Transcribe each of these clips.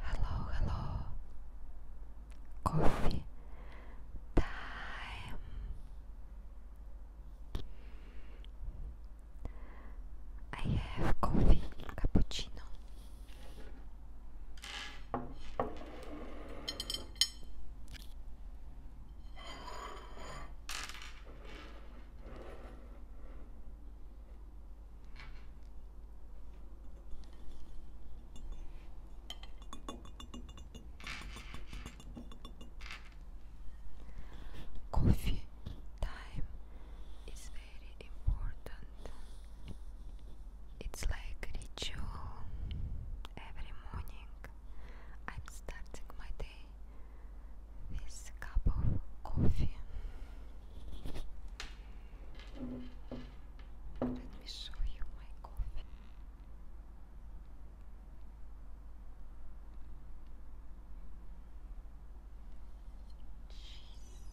Hello, hello. Coffee time. I have coffee cappuccino. Coffee time is very important. It's like ritual every morning. I'm starting my day with a cup of coffee. Let me show you my coffee. Jeez,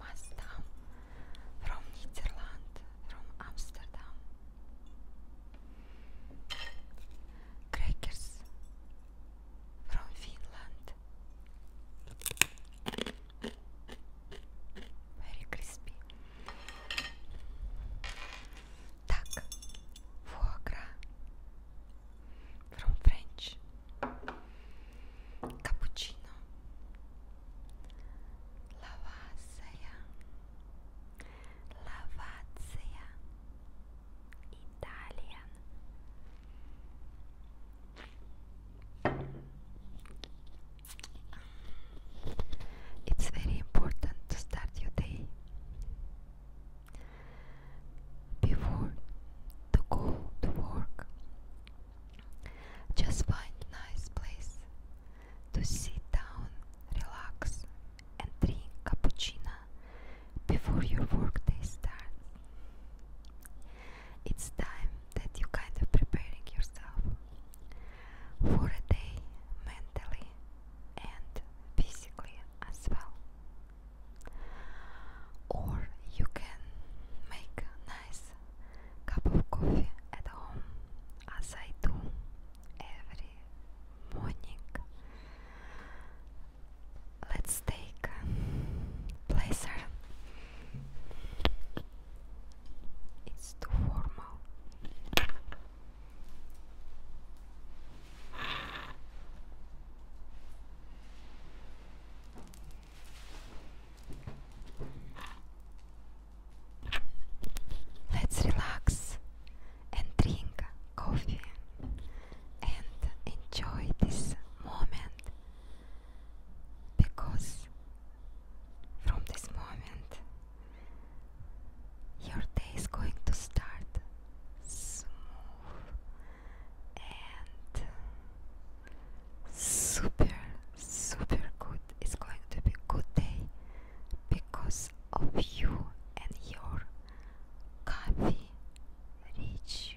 Mastam. Mastam from Netherland, from Amsterdam. Crackers from Finland. Very crispy. Duck. Foie gras. From French. Cappuccino. Lavația. Lavația. Italian. It's very important to start your day before to go to work. Just find a nice place to sit down, relax, and drink cappuccino before your workday starts. It's time that you kind of preparing yourself for a day mentally and physically as well. Or you can make a nice cup of coffee at home as I do every morning Let's take a blazer. It's too formal. Let's relax and drink coffee and enjoy this moment because from this moment your day is going to start smooth and super super good it's going to be good day because of you and your coffee ritual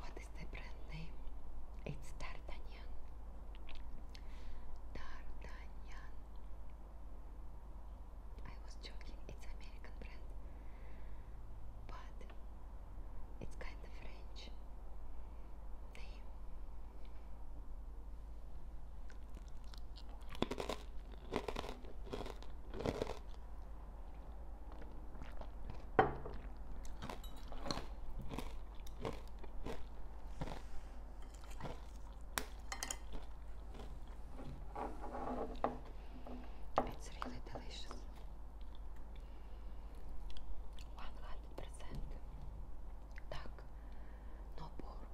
What is the brand name? It's Tartanian. D'Artagnan. I was joking, it's American brand. But it's kind of French name. It's really delicious. 100%. Так, no pork.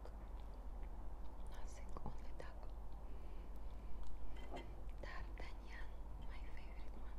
only duck. D'Artagnan, my favorite one.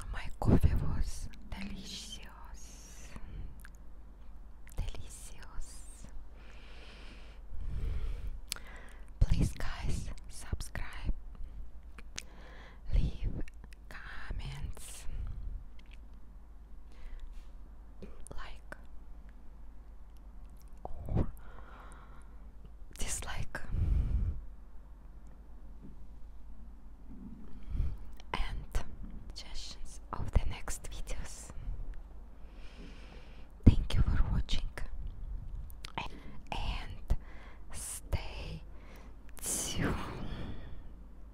Oh my coffee was delicious, delicious. Please, guys, subscribe, leave comments, like dislike, and suggestions of the next videos. Thank you for watching and stay tuned.